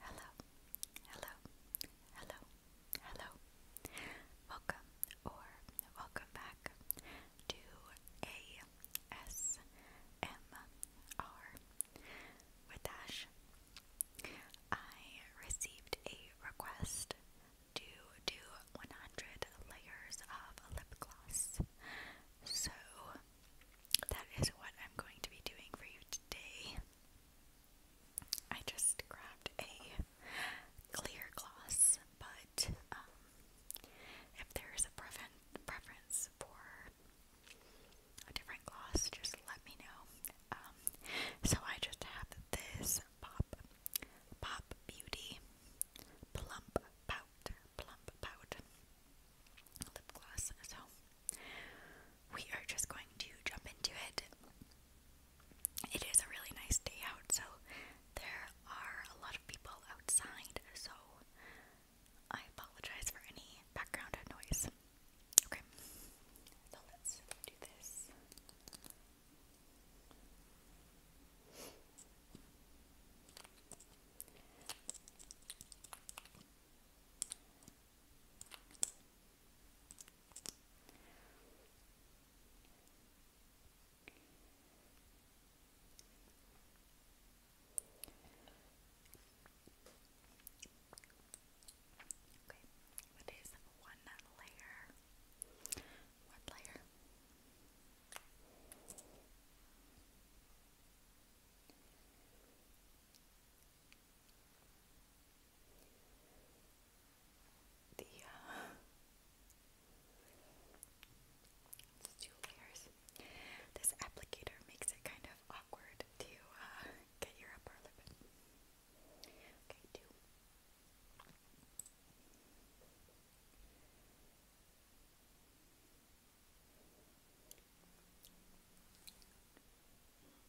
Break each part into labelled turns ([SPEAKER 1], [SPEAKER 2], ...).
[SPEAKER 1] Hello, hello, hello, hello. Welcome or welcome back to ASMR received a request to do 100 layers of lip gloss. So that is what I'm going to be doing for you today. I just grabbed a clear gloss, but um, if there is a preference for a different gloss, just let me know. Um, so I just have this Pop Pop Beauty Plump Pout Plump Pout lip gloss. So we are just going to jump into it. It is a really nice day out, so there are a lot of people outside, so I apologize for any background noise. Okay, so let's do this. Okay, what is one layer? One layer the uh, two layers. This applicator makes it kind of awkward to uh, get your upper lip. Okay, two.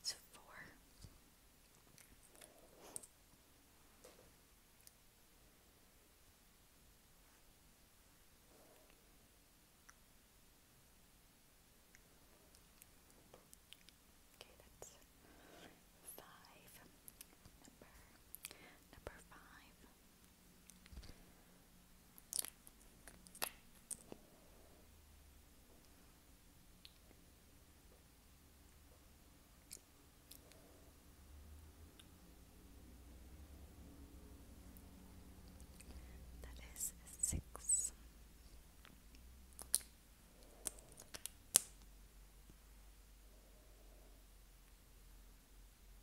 [SPEAKER 1] It's a four. Okay, that's five. Number number five. That is six.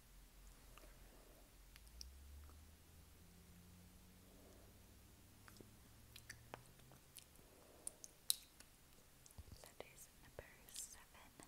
[SPEAKER 1] That is number seven.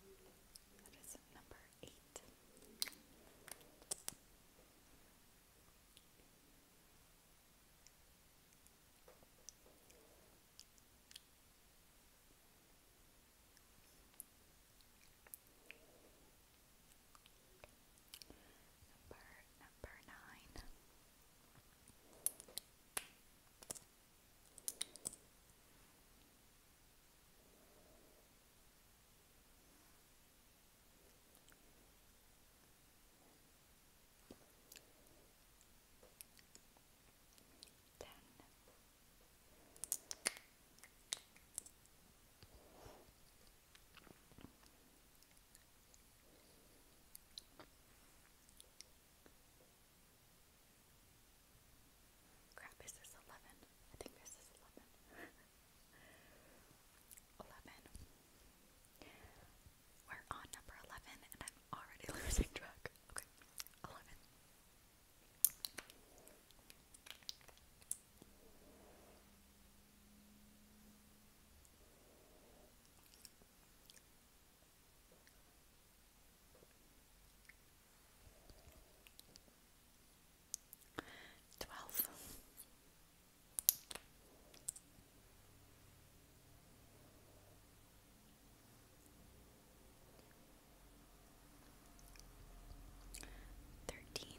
[SPEAKER 1] That is number eight. Number number nine. Ten. Eleven, Crap, is this 11? I think this is 11. 11. We're on number 11 and I'm already losing track. Okay, 11. Twelve. Thirteen.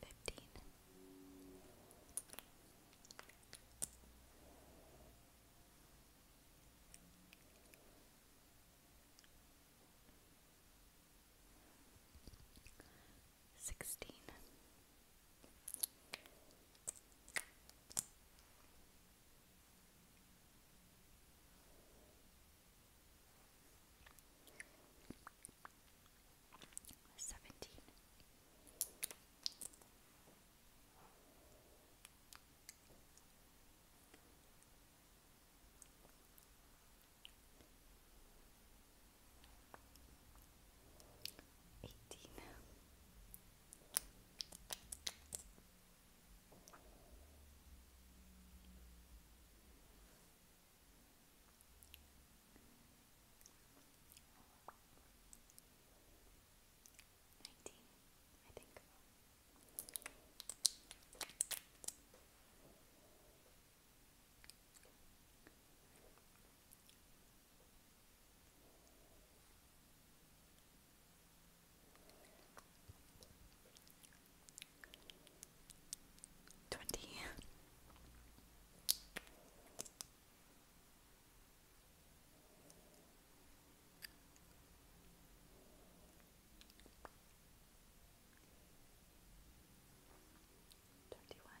[SPEAKER 1] Fifteen. Sixteen. Seventeen. Eighteen. Nineteen, I think. Twenty. Thirty-one.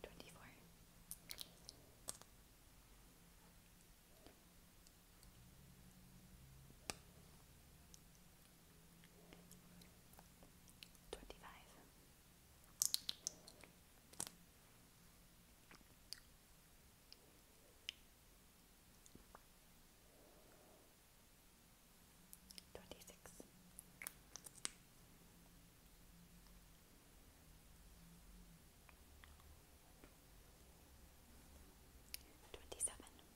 [SPEAKER 1] Twenty-four. Twenty-five. Twenty-six. Twenty-seven. Twenty-eight.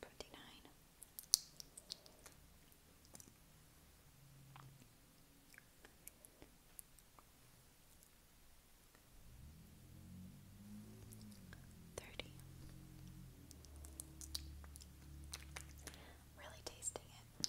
[SPEAKER 1] Fifty nine. Thirty. Really tasting it.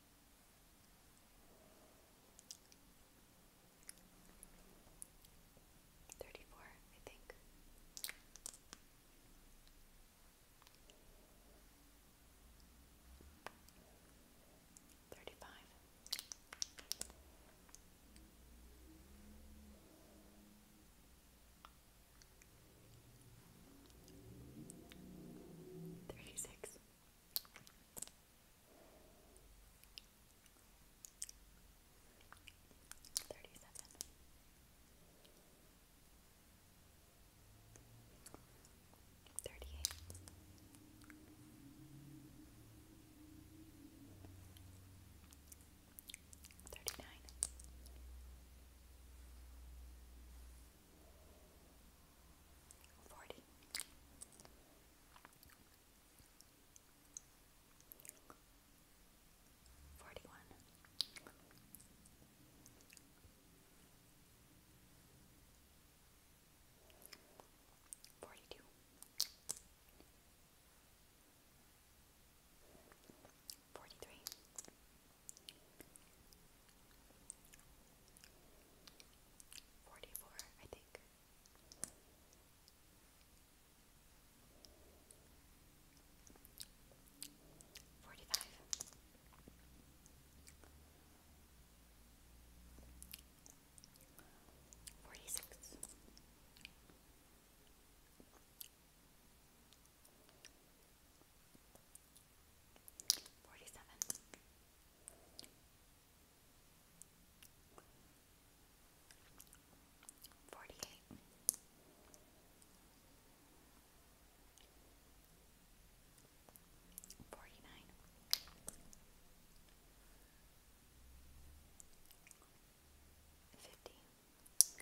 [SPEAKER 1] Thirty-four, I think. Thirty-five. Thirty-six. Thirty-seven. Thirty-eight. Thirty-nine. 39 forty. Forty one, forty two, forty three, 44, I think. Forty five, forty six, Forty-seven. Forty-eight. Forty-nine. Fifty. 51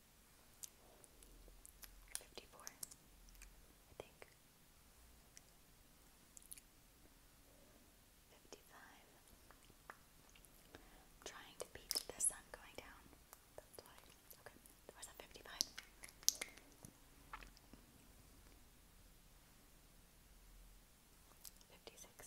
[SPEAKER 1] 54, I think. 55. trying to beat the sun going down. That's why. Okay, where's that 55? Fifty six,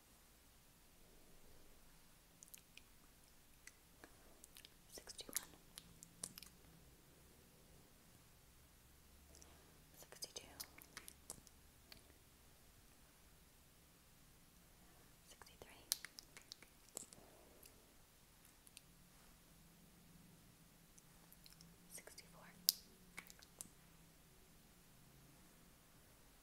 [SPEAKER 1] Sixty-one, sixty-two, sixty-three, sixty-four. 65 66 67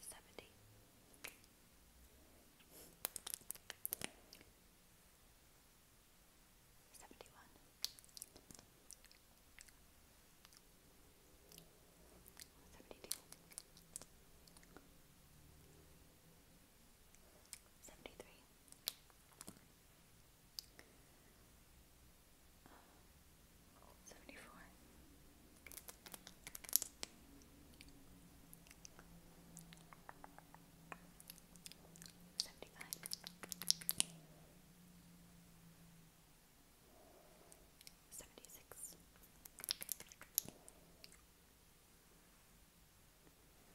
[SPEAKER 1] seventy. Seventy one, seventy two, seventy three, seventy four, Seventy four. Seventy five. Seventy six. 78 79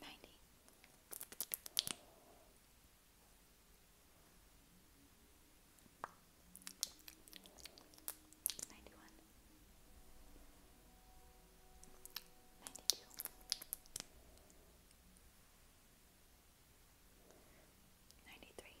[SPEAKER 1] ninety. Ninety one, ninety two, ninety three,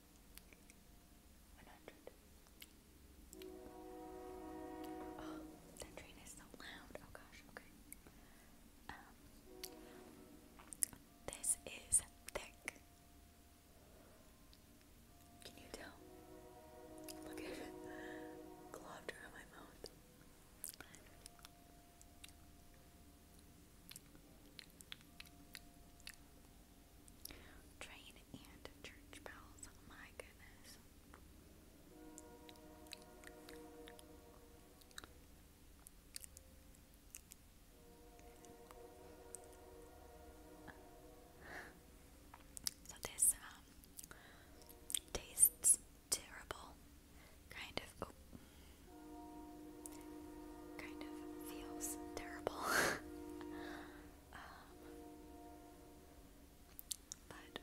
[SPEAKER 1] One hundred. Oh, that train is so loud. Oh gosh. Okay. Um, this is thick. Can you tell? Look at it. Globbed around my mouth. Train and church bells, my goodness. So this um tastes terrible, kind of. Oh, kind of feels terrible. Um, but,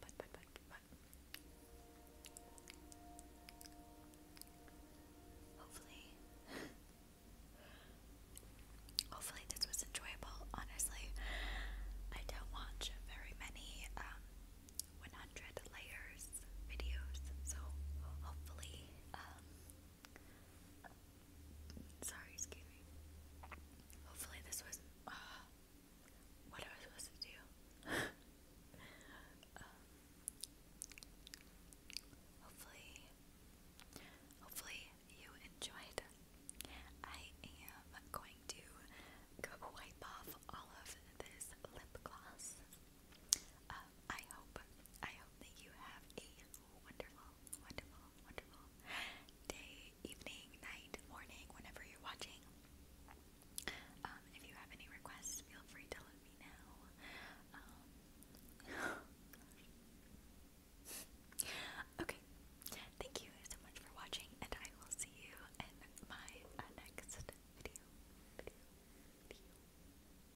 [SPEAKER 1] but, but, but, but, hopefully, hopefully this was enjoyable. Honestly, I don't watch very many, um, 100 layers videos, so hopefully, um, Sorry, excuse me. Hopefully, this was uh, what I was supposed to do. Um, hopefully, hopefully you enjoyed. I am going to wipe off all of this lip gloss. Uh, I hope, I hope that you have a wonderful, wonderful, wonderful day, evening, night, morning, whenever you're watching. Um, if you have any requests, feel free to let me know. Um, okay, thank you so much for watching, and I will see you in my uh, next video. video, video.